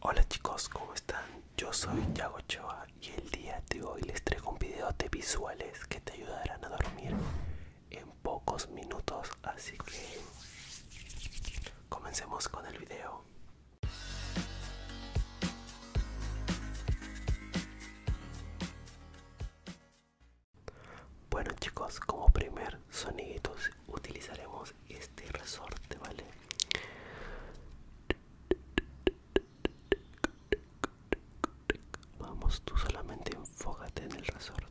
Hola chicos, ¿cómo están? Yo soy Yagochoa y el día de hoy les traigo un video de visuales que te ayudarán a dormir en pocos minutos, así que comencemos con el video. Bueno chicos, como primer soniguitos utilizaremos este resorte vale vamos tú solamente enfócate en el resorte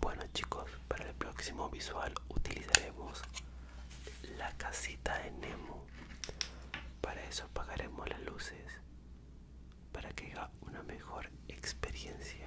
Bueno chicos, para el próximo visual utilizaremos la casita de Nemo. Para eso apagaremos las luces para que haga una mejor experiencia.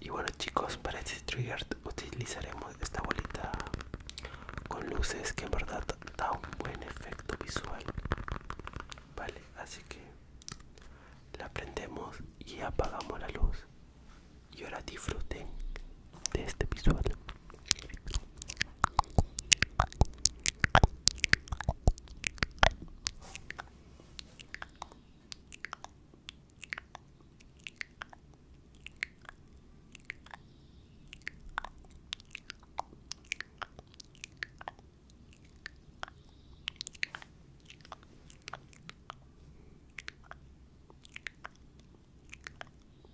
Y bueno chicos, para este trigger utilizaremos esta bolita con luces que en verdad da un buen efecto visual. Vale, así que la prendemos y apagamos la luz y ahora disfrute de este episodio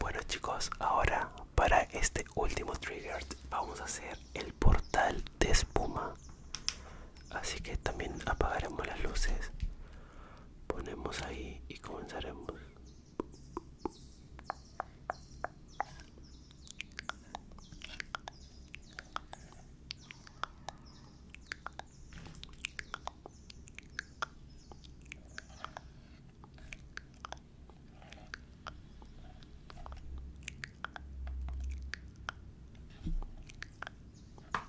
Bueno chicos, ahora para este último trigger vamos a hacer el portal de espuma. Así que también apagaremos las luces ponemos ahí y comenzaremos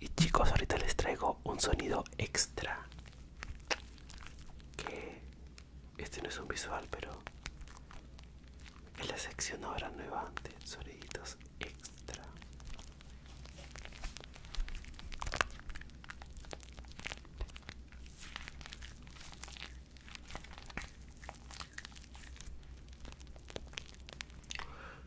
Y chicos, ahorita les traigo un sonido extra. Que este no es un visual, pero es la sección ahora nueva de soniditos extra.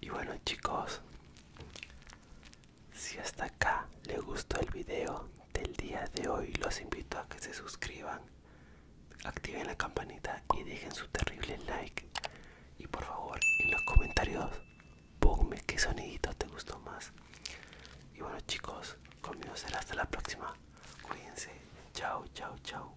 Y bueno chicos, si hasta acá les gustó el video del día de hoy, los invito a que se suscriban, activen la campanita y dejen su terrible like. Y por favor, en los comentarios Ponme qué sonidito te gustó más. Y bueno chicos, conmigo será hasta la próxima. Cuídense. Chao, chao, chao.